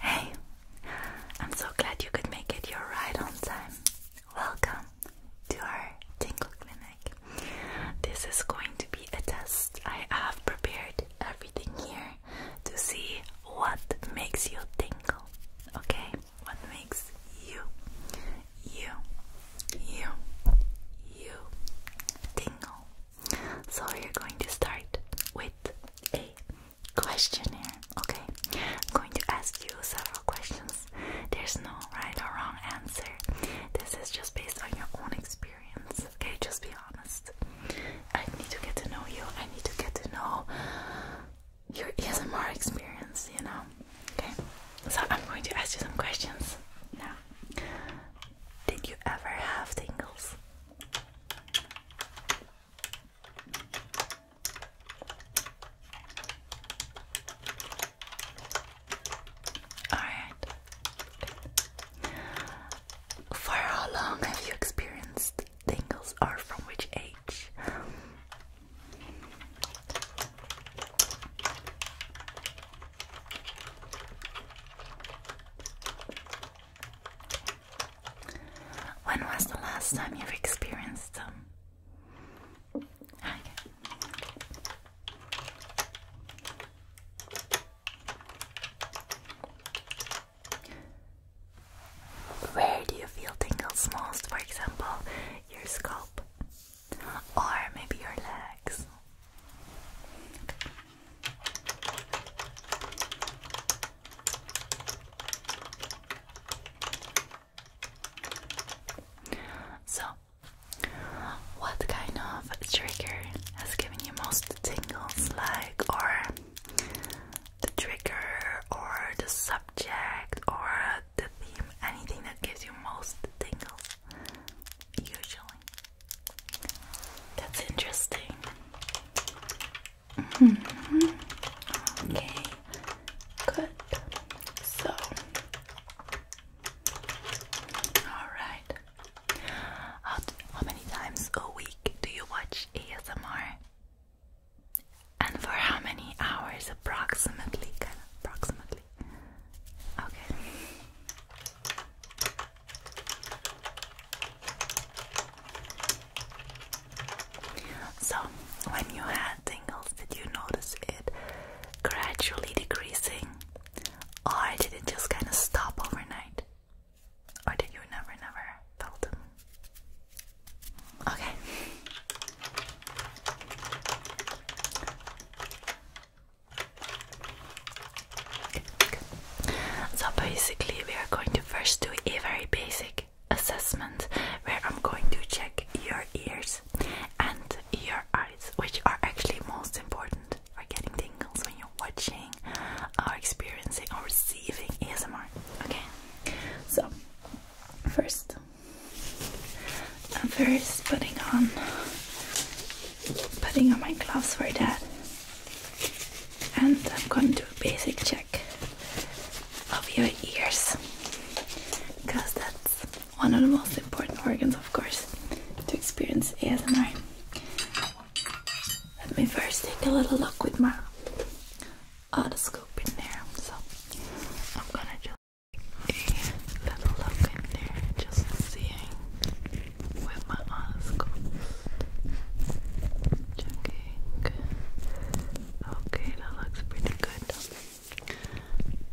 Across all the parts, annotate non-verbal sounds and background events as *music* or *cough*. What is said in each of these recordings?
Hey, I'm so glad you could make it. You're right on time. Welcome to our tingle clinic. This is going to be a test. I have prepared everything here to see what makes you tingle. Okay? What makes you, you, you, you tingle? So, we're going to start with a questionnaire. Okay, I'm going to ask you several questions. There's no right or wrong answer. This is just based on your own experience. Okay, just be honest. I need to get to know you. I need to get to know your ASMR experience, you know. Okay, so I'm going to ask you some questions now. Did you ever have tingles? Alright. For how long have you experienced tingles or from which age? When was the last time you experienced them? Where do you feel tingles most? For example, your scalp or maybe your legs. So, what kind of trigger has given you most tingles? Like, or the trigger, or the subject, or the theme? Anything that gives you most tingles? Usually. That's interesting. Mm-hmm. Okay, good. So, all right. How, how many times a week do you watch ASMR? And for how many hours approximately? Kind of, approximately. Okay. So, when you had tingles, did you notice it gradually decreasing? Or did it just kind of stop overnight? Or did you never, never felt them? Okay. So basically we are going to first do a very basic assessment where I'm going to check your ears and your eyes, which are actually most important for getting tingles when you're watching or experiencing or receiving ASMR. Okay, so first, I'm first putting on putting on my gloves for that and I'm going to do a basic check of your ears because that's one of the most important organs, of course, to experience ASMR. Let me first take a little look with my otoscope in there. So I'm gonna just a little look in there, just seeing with my otoscope. Checking. Okay, that looks pretty good.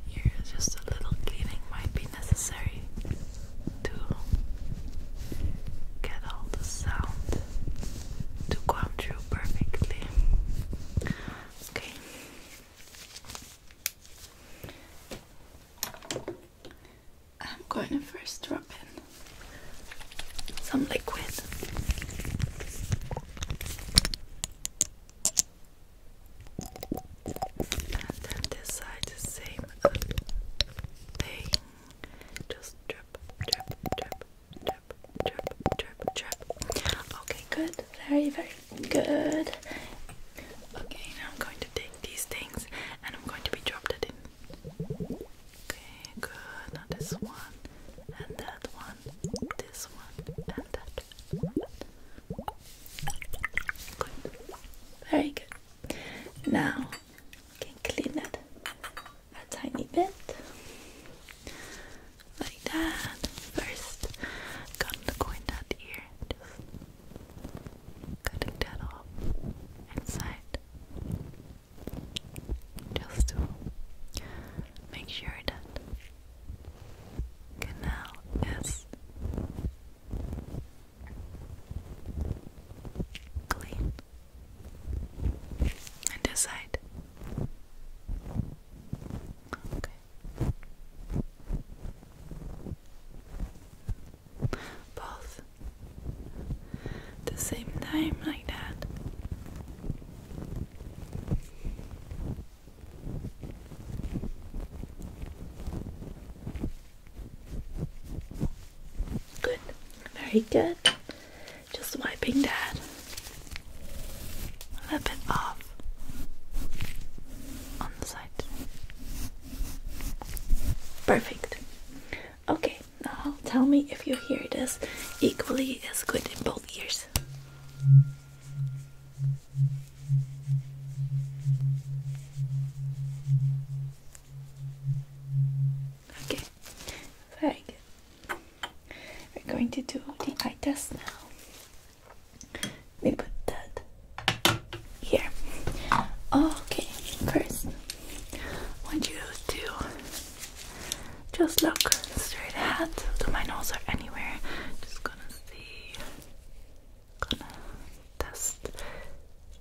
Here, just a little cleaning might be necessary to get all the sound to come through perfectly. Okay. I'm going to first drop in some liquid. And then this side, the same thing. Just drip, drip, drip, drip, drip, drip, drip. Okay, good. Very, very good. Okay, now I'm going to take these things and I'm going to be dropped it in. Okay, good. Now this one, and that one, this one, and that Good. Very good. Now can clean that a tiny bit. Like that. First, gonna go in that Just cutting that off inside just to make sure that canal is clean. And this Okay both the same time like that. Good, very good. Just wiping that a bit off on the side. Perfect. Okay, now tell me if you hear this equally as good in both ears. Okay, very good. We're going to do the eye test now. We put that here. Okay, first want you to just look straight ahead to my nose or anywhere. Just gonna see, gonna test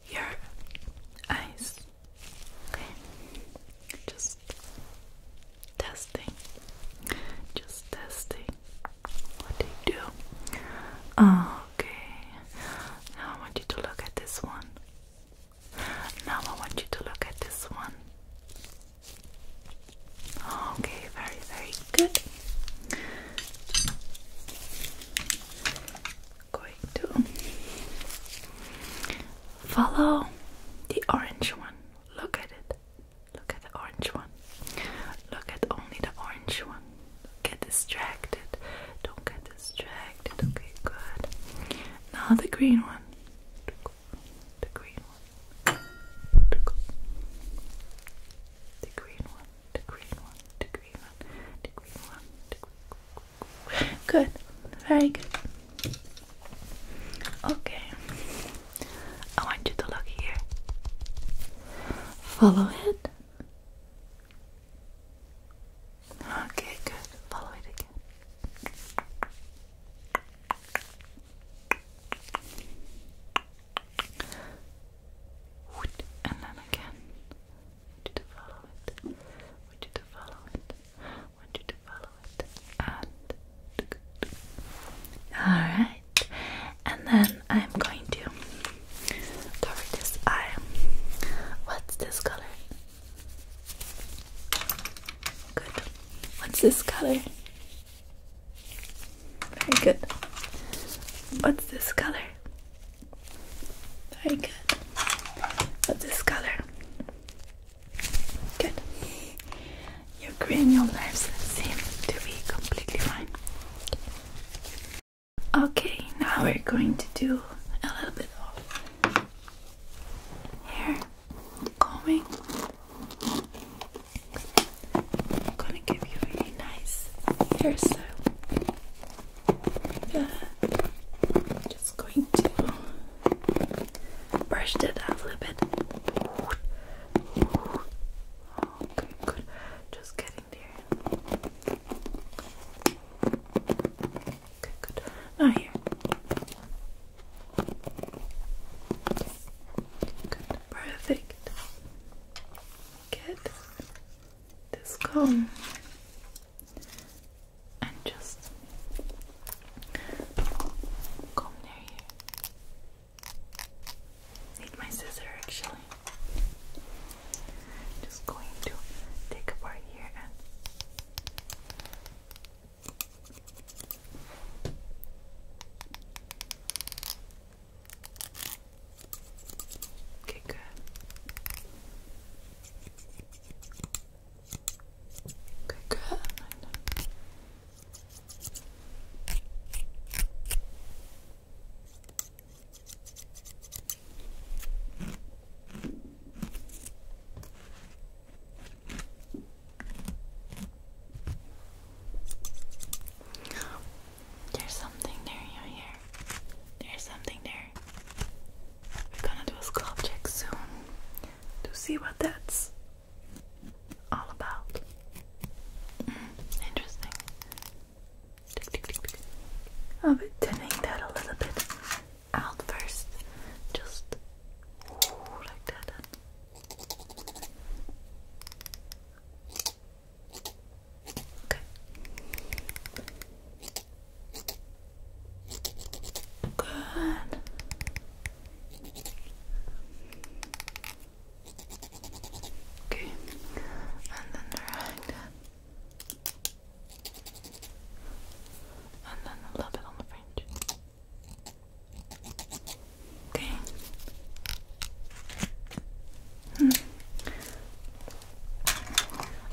your eyes. Okay, just testing, just testing. What do you do? Okay, now I want you to look at this one. Now I want you to look at this one. Okay, very, very good. going to follow the orange one. Look at it. Look at the orange one. Look at only the orange one. Don't get distracted. Don't get distracted. Okay, good. Now the green one. The green one. The green one. The green one. The green one. The green one. Good. Very good. Okay. I want you to look here. Follow it. Okay, good. Follow it again. And then again. want you to follow it. want you to follow it. want you to follow it. And alright. And then I'm going to cover this eye. What's this color? Good. What's this color? Very good. What's this color? Very good. What's this color? Good. Your cranial nerves seem to be completely fine. Okay, now we're going to do a little bit of hair combing. I'm gonna give you a nice hairstyle. I'm just going to brush that a little bit. Okay, good. Just getting there. Okay, good. Now here. Good. Perfect. Good. This comb and just comb near Need my scissor actually. I'm just going to take apart here and Okay, good. Okay, good. There's something there in your hair. There's something there. We're gonna do a scalp check soon to see what that's all about. Mm, interesting. I'll be thinning that a little bit out first. Just like that. Okay. Good. Okay. And then the right and then a little bit on the fringe. Okay. Hmm.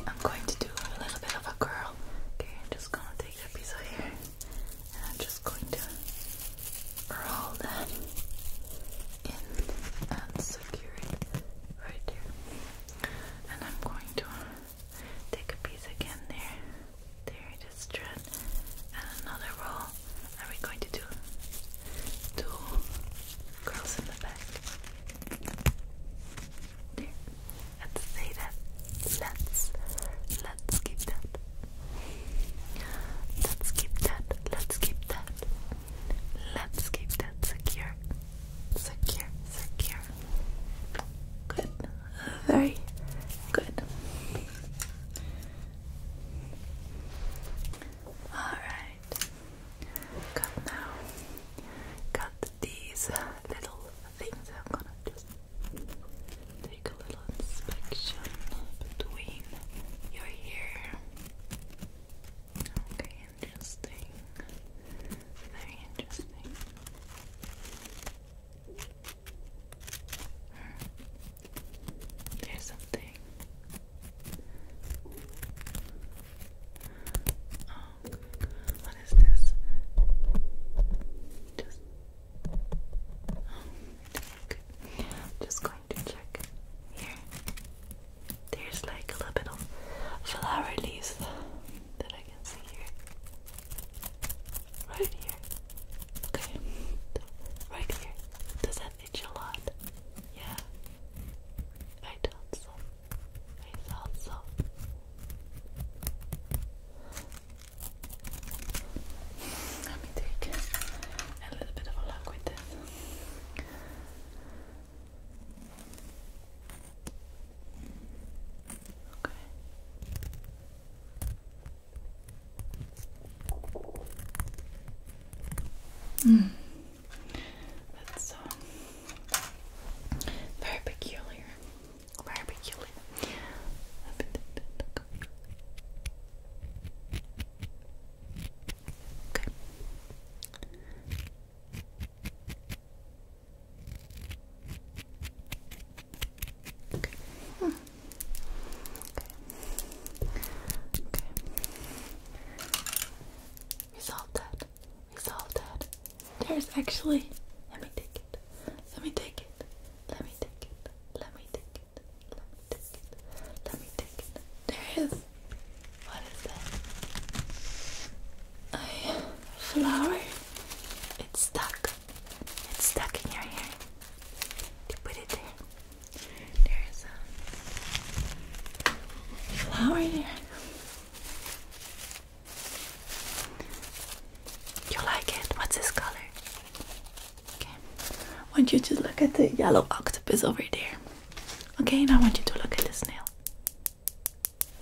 I'm going to do a little bit of a curl. Okay, I'm just gonna take a piece of hair and I'm just going to roll that in and secure it right there and I'm going to take a piece again there. There it is, thread, and another roll. And we going to do two curls in the back. There. Let's say that. Let's let's keep that. Let's keep that. Let's keep that. Let's keep that secure secure, secure. Good, very good. Alright, come now. Got these little things. I'm gonna just take a little inspection between your hair. Okay, interesting. Very interesting. Hmm. There's something. Oh, what is this? Just. Oh, okay. I'm just going to check here. There's like a little bit of flower leaves that I can see here. Right here. Okay. Right here. Does that itch a lot? Yeah. I thought so. I thought so. Let me take a little bit of a with this. Okay. Mm. That's um, very peculiar. Very peculiar. Okay. Okay. Hmm. Okay. Okay. We solved that. We solved that. There's actually. Let me take it. Let me take it. Let me take it. Let me take it. Let me take it. Let me take it. There is what is that? A flower? It's stuck. It's stuck in your hair. You put it there. There's a flower there. You like it? What's this color? Okay. I want you to look at the yellow octopus over there. Okay, now I want you to look at the snail.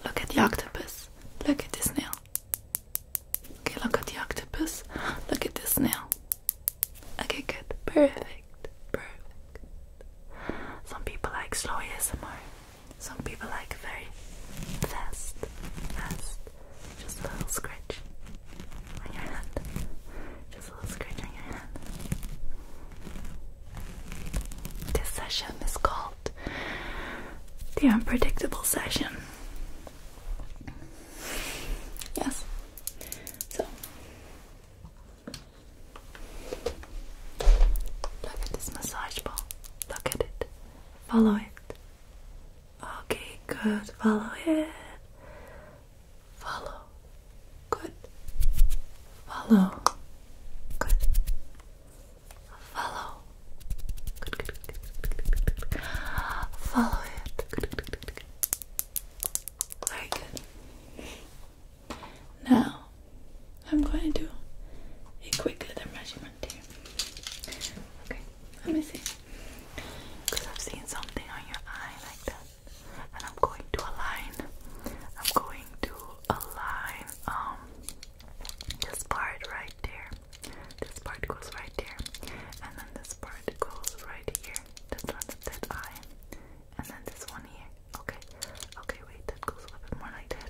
Look at the octopus. Look at this nail. Okay, look at the octopus. *gasps* Look at this nail. Okay, good. Perfect. Perfect. Some people like slow ASMR. Some people like very fast. Fast. Just a little scratch on your hand. Just a little scratch on your hand. This session is called The Unpredictable Session. Yes. So look at this massage ball. Look at it. Follow it. Okay, good. Follow it. Follow. Good. Follow. Good. Follow. Good, good, good, good, Follow it. Very good. Now, I'm going to do a quicker measurement here. Okay, let me see. Because I've seen something on your eye like that. And I'm going to align. I'm going to a line um this part right there. This part goes right there. And then this part goes right here. That's not that eye. And then this one here. Okay. Okay, wait, that goes a little bit more like that.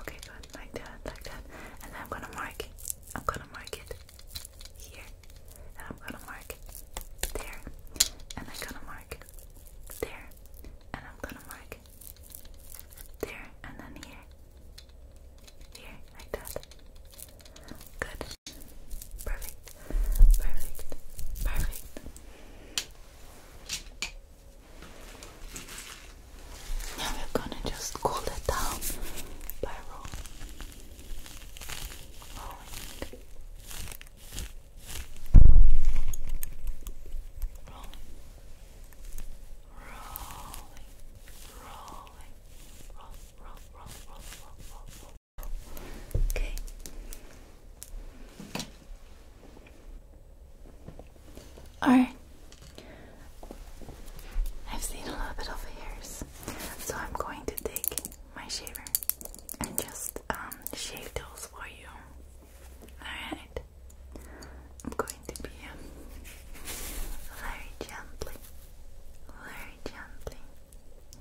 Okay, good. Like that, like that. And then I'm gonna mark I'm gonna mark it here. And I'm gonna mark there. And I'm gonna mark there, and I'm gonna mark there, and then here, here, like that. Good, perfect, perfect, perfect. Now we're gonna just cool it down by rolling roll. Okay. Alright. I've seen a little bit of hairs, so I'm going to take my shaver and just um, shave those for you. Alright, I'm going to be um, very gently, very gently.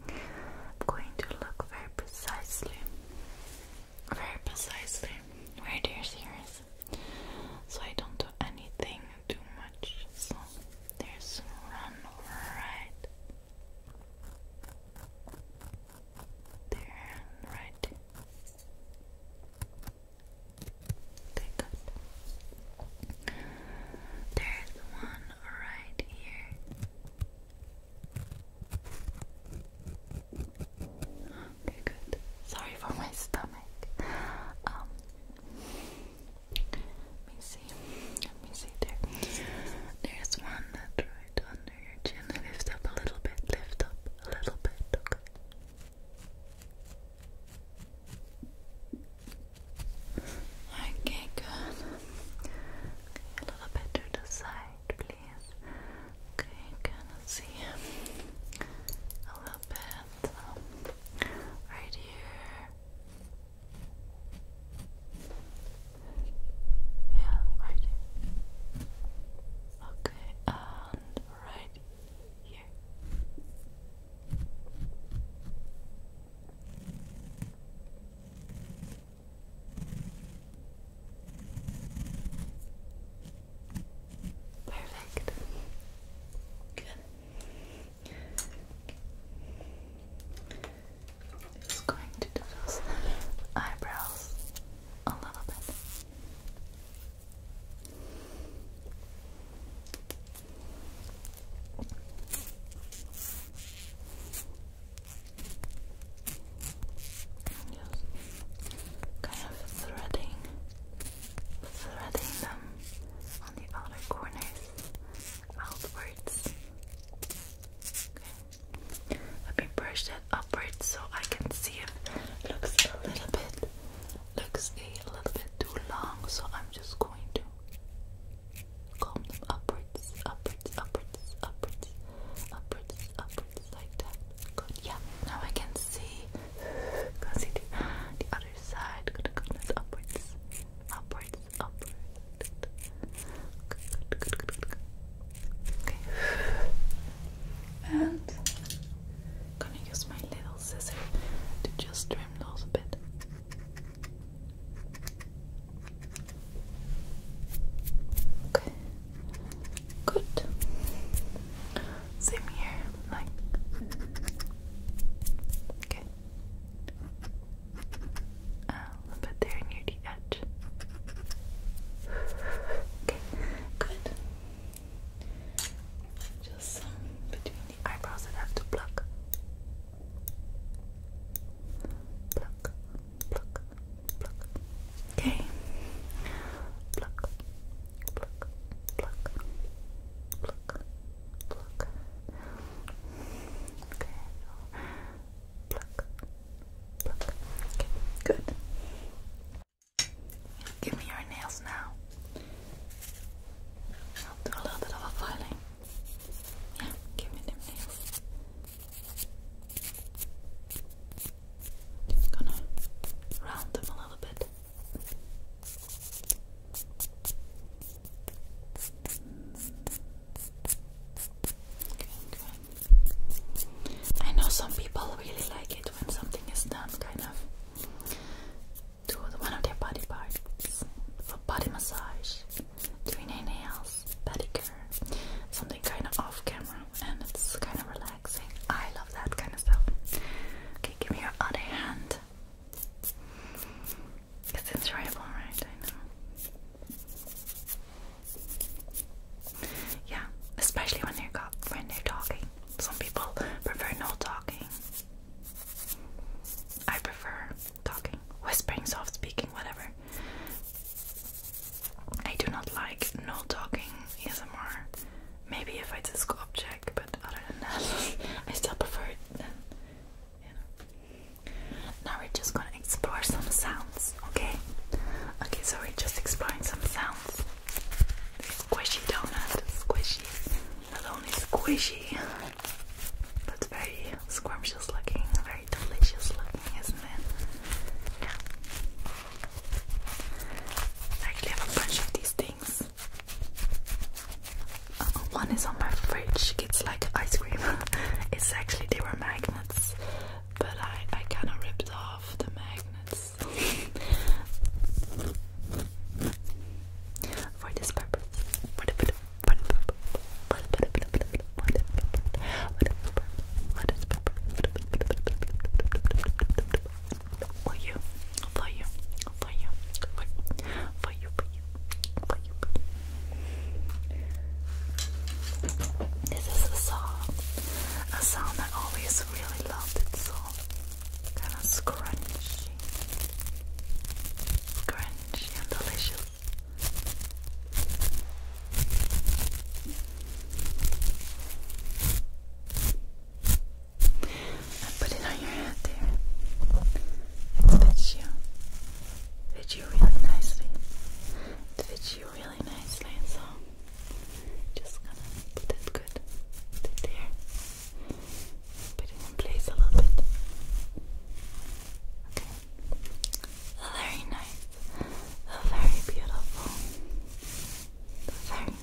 I'm going to look very precisely, very precisely where there's ears, so I don't do anything too much. So there's one right there right. Okay, good. There's one right here. Okay, good. Sorry for my stomach. Um, let me see. Let me see there. There's one that under your chin. Lift up a little bit, lift up a little bit, okay. a little bit to the side, please. Okay, can I see a little bit um, right here? Yeah, right. Okay, and uh, right here. Perfect. Good. Just going to do those eyebrows a little bit. Just kind of threading, threading them on the outer corners outwards. Okay. Let me brush that upwards so I can see if it looks a little bit looks a little bit too long. So I'm just going to comb them upwards, upwards, upwards, upwards, upwards, upwards, like that. Good. Yeah. Now I can see. Can see the, the other side. Gonna comb this upwards, upwards, upwards. Good, good, good, good, good. And I'm gonna use my little scissors to just trim those a bit. Okay. Good. Same here, Okay. And little bit there near the edge. Okay, good. Just um, between the eyebrows I have to pluck. Pluck, pluck, pluck. Okay. Pluck, pluck, pluck, pluck, pluck. Okay, good. Give me your nails now. I'll do a little bit of a filing. Yeah, give me them nails. Just gonna round them a little bit. good. I know some people really like it when something is done kind of to one of their body parts for body massage, doing their nails, pedicure, something kind of off camera and it's kind of relaxing. I love that kind of stuff. Okay, give me your other hand. It's enjoyable, right? I know. Yeah, especially when they're talking. Some people prefer no talking. I prefer talking, whispering, soft speaking, whatever. I do not like no talking ASMR. Maybe if I just go object, but other than that, *laughs* I still prefer it. Now we're just gonna explore some sounds okay? Okay, sorry, just exploring some sounds. Squishy donut, squishy. Not only squishy, That's very scrumptious looking, very delicious looking, isn't it? I actually have a bunch of these things. Uh, one is on my fridge. It's like ice cream. *laughs* it's actually they were magnets, but I, I kind of ripped off the magnets for this purpose. For you, for you, for you, for you, for you, this is a song, a song I always really loved. It's so kind of scrunchy, crunchy and delicious. I put it on your head there. It fits you. fits you really nicely. It fits you really nicely, so just gonna put it good put it there. Put it in place a little bit. Okay. Very nice. Very beautiful. Very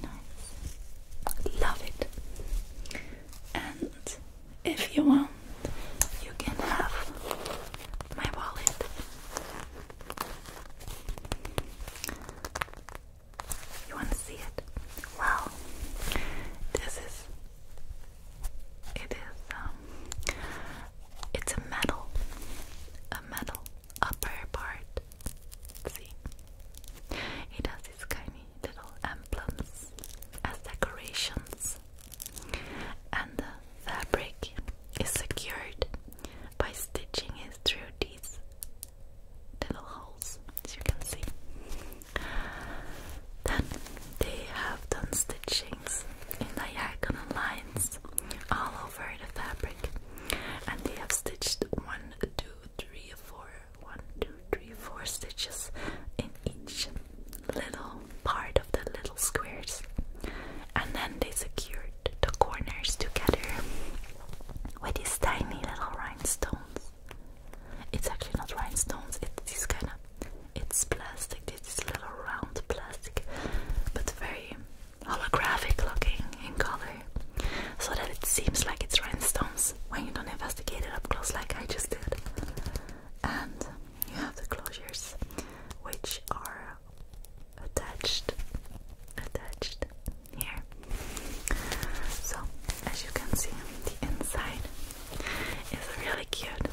nice. Love it. And if you want, you can have my wallet. You want to see it? Well, this is. It is. Um, it's a metal, a metal upper part. See, it has these tiny little emblems as decorations and the fabric is secured by stitching it through these little holes, as you can see. Then they have done stitchings in diagonal lines all over the fabric, and they have stitched one, two, three, four, one, two, three, four stitches in each little part of the little squares and then they secured the corners together with these tiny little rhinestones. It's actually not rhinestones, it's this kind of it's plastic, this little round plastic, but very holographic looking in color. So that it seems like it's rhinestones when you don't investigate it up close like I just did. And you have the closures which are attached attached here so as you can see the inside is really cute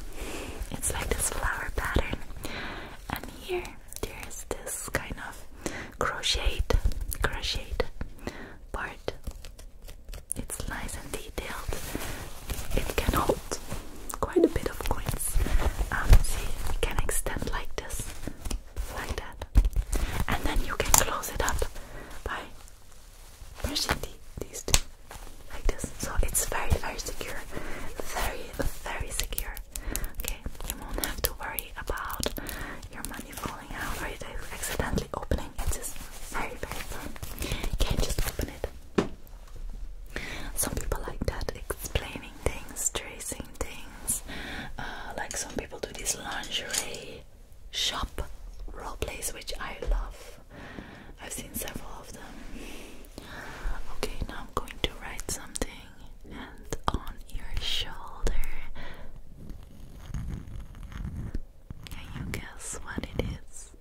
it's like this flower pattern and here there's this kind of crocheted crocheted part it's nice and detailed it can hold quite a bit of coins. Um, see, it can extend like this, like that, and then you can close it up by pushing these two like this. So it's very, very secure, very, very secure. Okay, you won't have to worry about your money falling out or you accidentally opening. It's just very, very fun. You can just open it. Some people like that, explaining things, tracing things. Uh, like some people do this lingerie shop role plays, which I love. I've seen several of them. Okay, now I'm going to write something and on your shoulder. Can you guess what it is? is.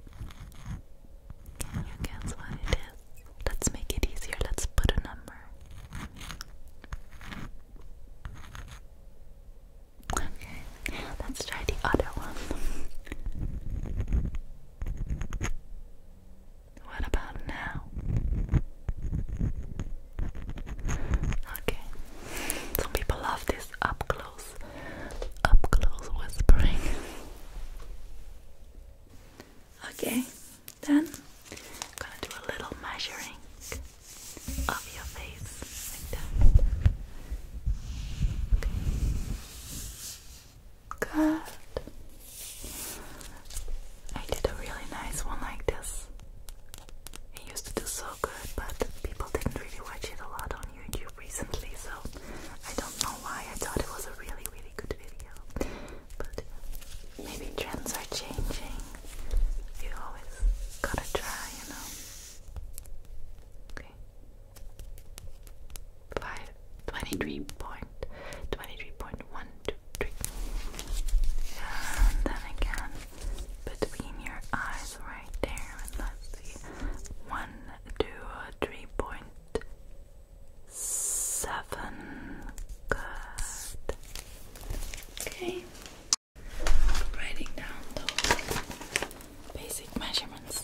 You guess what it is. Let's make it easier. Let's put a number. Okay, let's try the other one. What about now? Okay, some people love this up close, up close whispering. Okay, then I'm gonna do a little measuring of your face Good. I did a really nice one like this. It used to do so good, but people didn't really watch it a lot on YouTube recently, so I don't know why. I thought it was a really, really good but maybe trends are changing. You always gotta try, you know. Okay. Five twenty-three point twenty-three point one two three. And then again between your eyes right there let's see. One, two, three point seven. Okay. Writing down those basic measurements.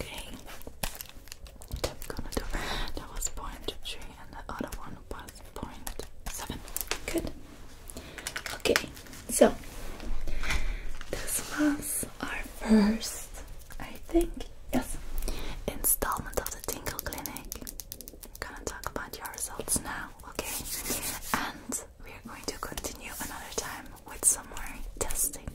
Okay. That was point three, and the other one was point seven. Good. Okay, so this was our first, I think, yes, installment of the Tinkle Clinic. I'm gonna talk about your results now, okay? And we're going to continue another time with some more testing.